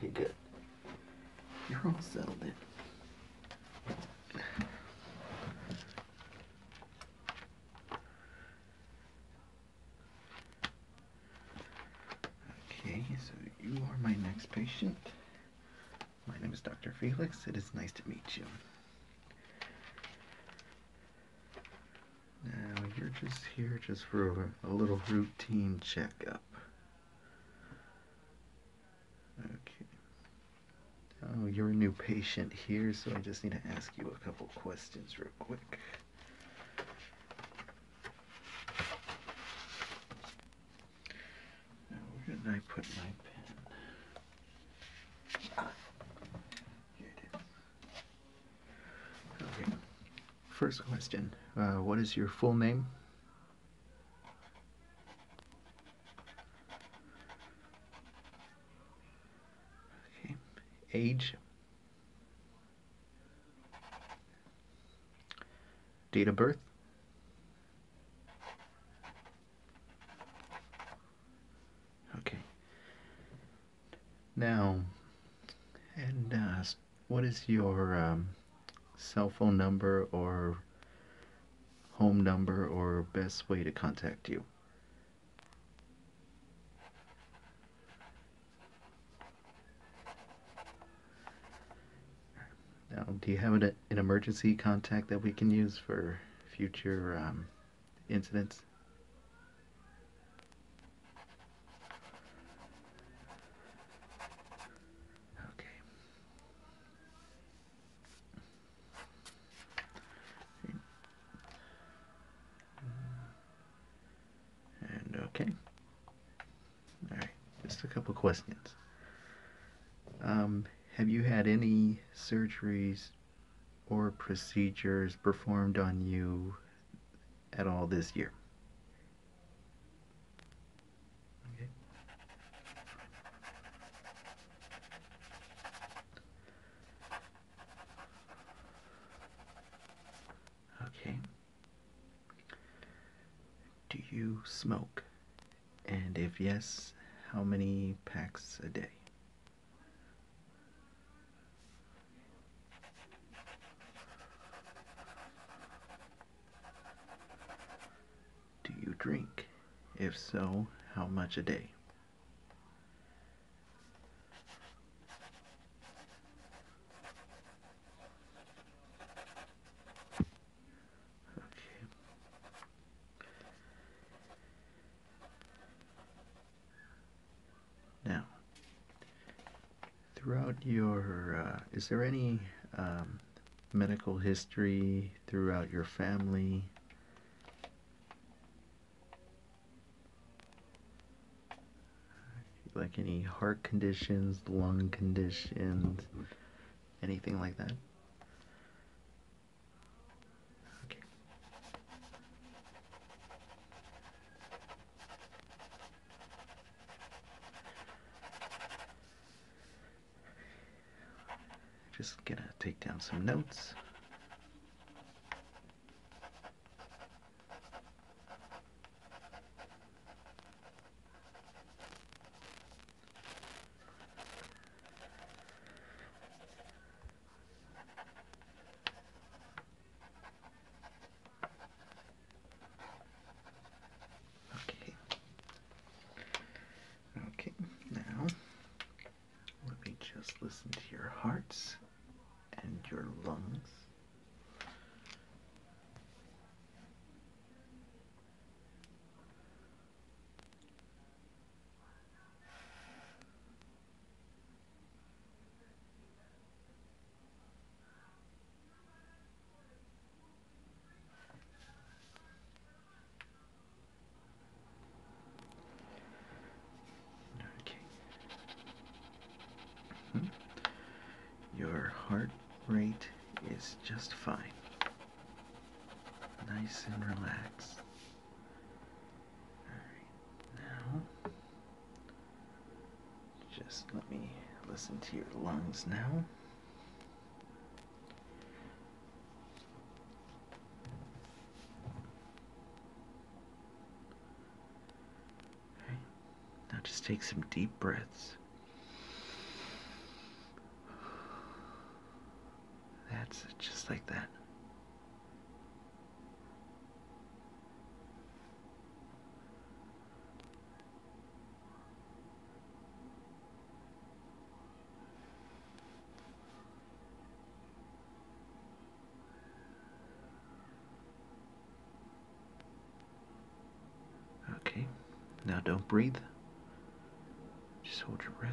Okay, good. You're all settled in. Okay, so you are my next patient. My name is Dr. Felix. It is nice to meet you. Now, you're just here just for a, little routine checkup. Okay. Oh, you're a new patient here, so I just need to ask you a couple questions real quick. where did I put my pen? Ah, okay. First question uh, What is your full name? Okay, age, date of birth, okay. Now, and uh, what is your um, cell phone number or home number or best way to contact you. Now, do you have an, an emergency contact that we can use for future um, incidents? Okay. And okay. Alright, just a couple questions. Um, have you had any surgeries or procedures performed on you at all this year? okay Okay. Do you smoke? And if yes, how many packs a day? Do you drink? If so, how much a day? Okay. Now, throughout your, uh, is there any um, medical history throughout your family. Like any heart conditions, lung conditions, anything like that. Just gonna take down some notes. Okay. Okay, now let me just listen to your hearts and your lungs. Okay. -hmm. Your heart rate is just fine. Nice and relaxed. Alright, now just let me listen to your lungs now. Right. Now just take some deep breaths. That's just like that. Okay, now don't breathe. Just hold your breath.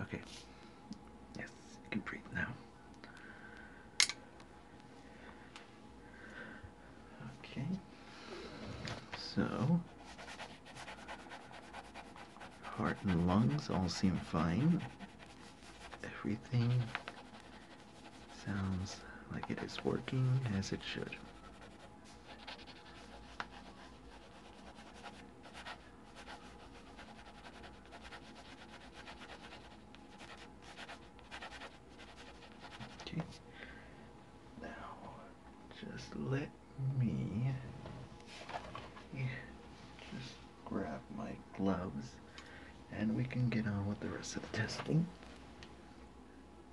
Okay. Yes, you can breathe now. Okay. So, heart and lungs all seem fine. Everything sounds like it is working as it should. Okay. Now, just let me just grab my gloves and we can get on with the rest of the testing.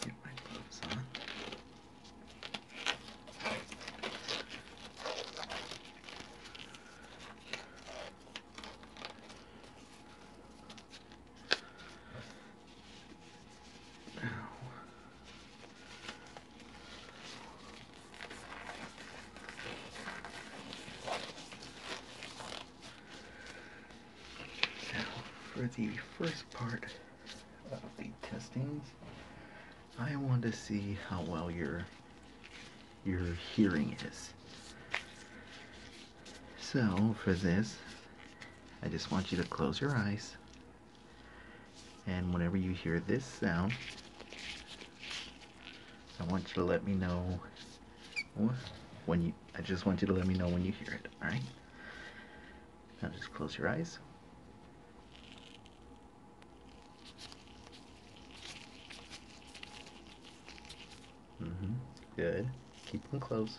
Get my gloves on. Now, so, for the first part of the testings, I want to see how well your your hearing is. So, for this, I just want you to close your eyes. And whenever you hear this sound, I want you to let me know when you, I just want you to let me know when you hear it, alright? Now just close your eyes. Mm-hmm, good. Keep them closed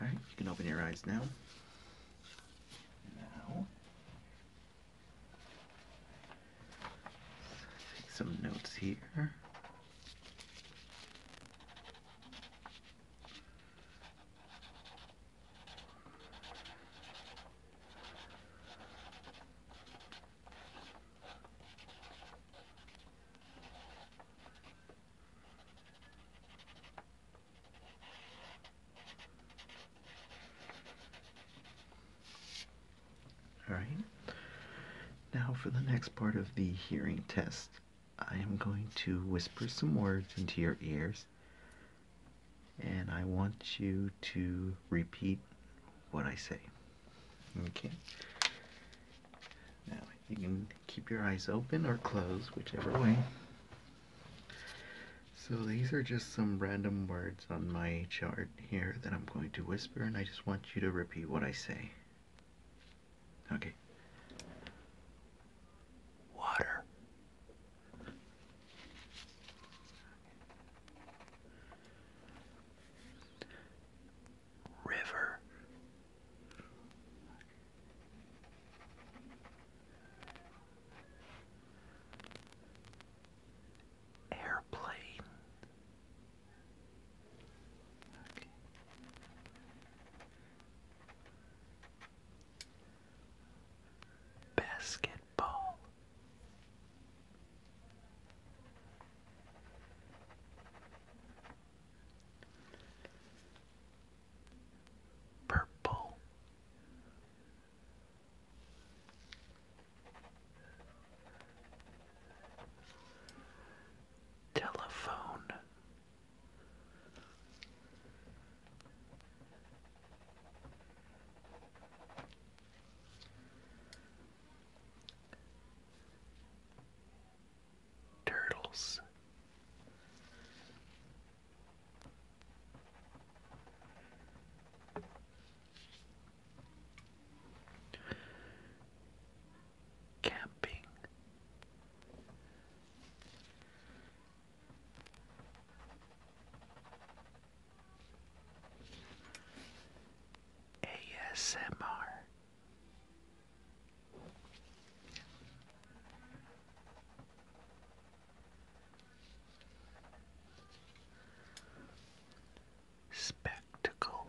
Alright, you can open your eyes now. Now, take some notes here. All right. Now for the next part of the hearing test, I am going to whisper some words into your ears and I want you to repeat what I say. Okay. Now you can keep your eyes open or closed, whichever way. So these are just some random words on my chart here that I'm going to whisper and I just want you to repeat what I say. Okay. Water. River. Airplane. Okay. Basketball purple. Telephone turtles. Camping. ASMR Spectacle.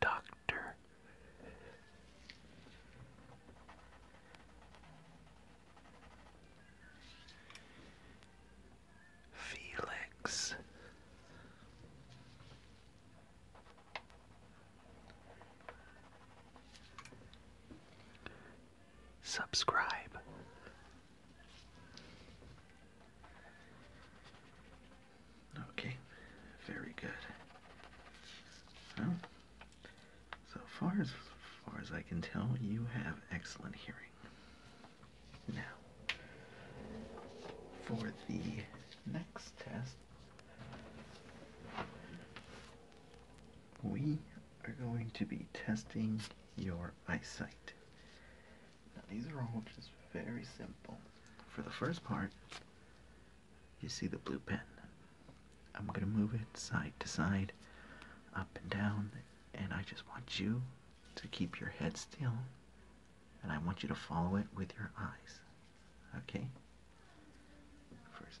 Doctor Felix Subscribe Okay, very good. Well, so far as far as I can tell, you have excellent hearing. Now, for the next test, we are going to be testing your eyesight. Now, these are all just very simple. For the first part, you see the blue pen. I'm gonna move it side to side, up and down, and I just want you to keep your head still and I want you to follow it with your eyes. Okay? First.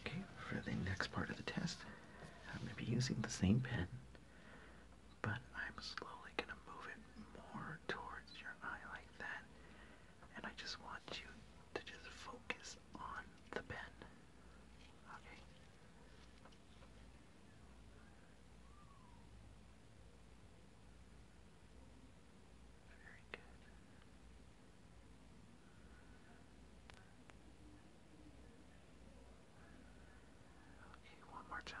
Okay, for the next part of the test, I'm going to be using the same pen, but I'm slowly going to move it more towards your eye like that and I just want you to just focus on the pen. Okay? Very good. Okay, one more time.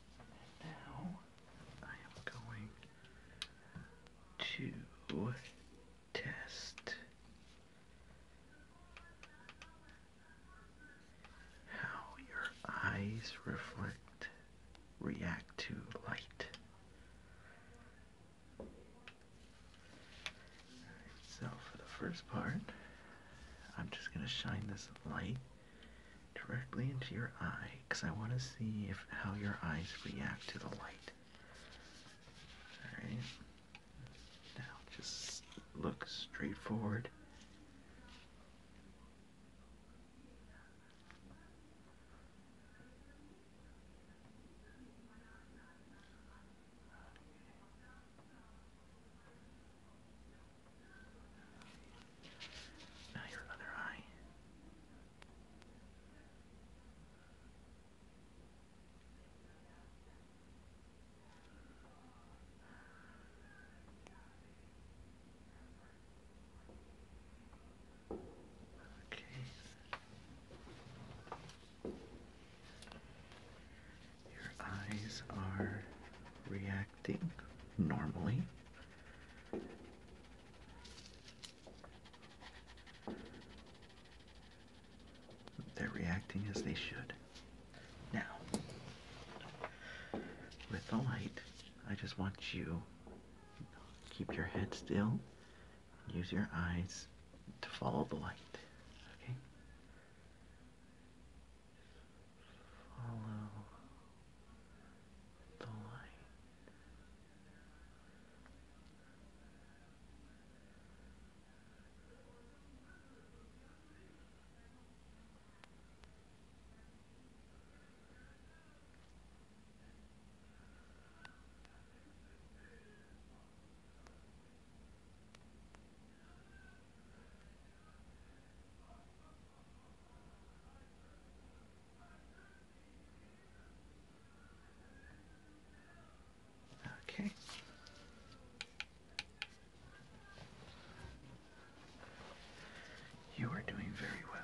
now I am going to test how your eyes reflect react to light. so for the first part, I'm just going to shine this light directly into your eye because I want to see if how your eyes react to the light. Alright. Now just look straight forward. Now your other eye. Okay. Your eyes are reacting normally. They're reacting as they should. Now, with the light, I just want you keep your head still use your eyes to follow the light. Okay? Follow the light. Okay. You are doing very well.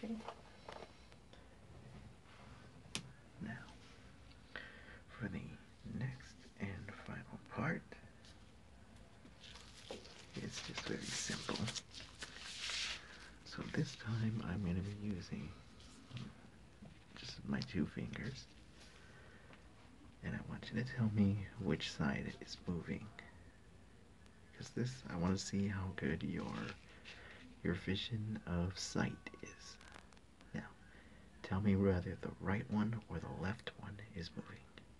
Okay. Now, for the next and final part, it's just very simple. So this time I'm going to be using just my two fingers. And I want you to tell me which side is moving. Because this, I want to see how good your your vision of sight is. Now, tell me whether the right one or the left one is moving.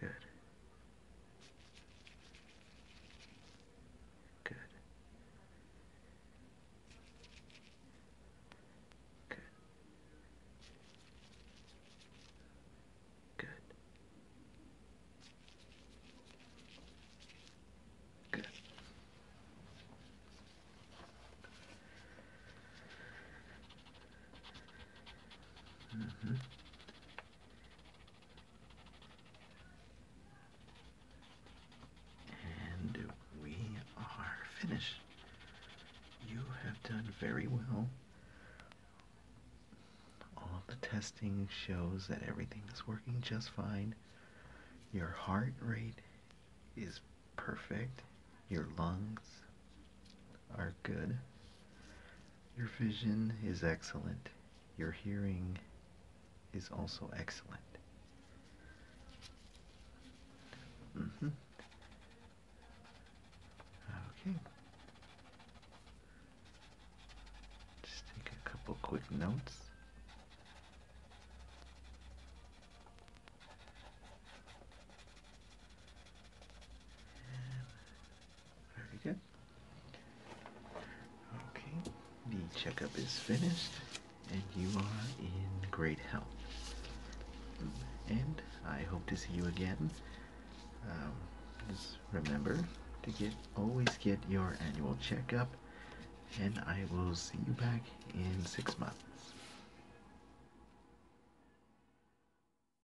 Good. Good. Good. Good. Good. Mm -hmm. And we are finished. You have done very well. All the testing shows that everything is working just fine. Your heart rate is perfect. Your lungs are good. Your vision is excellent. Your hearing is also excellent. Mm-hmm. Okay. Just take a couple quick notes. Very good. Okay, the checkup is finished and you are in great health. And I hope to see you again. Um, just remember to get always get your annual checkup and I will see you back in six months.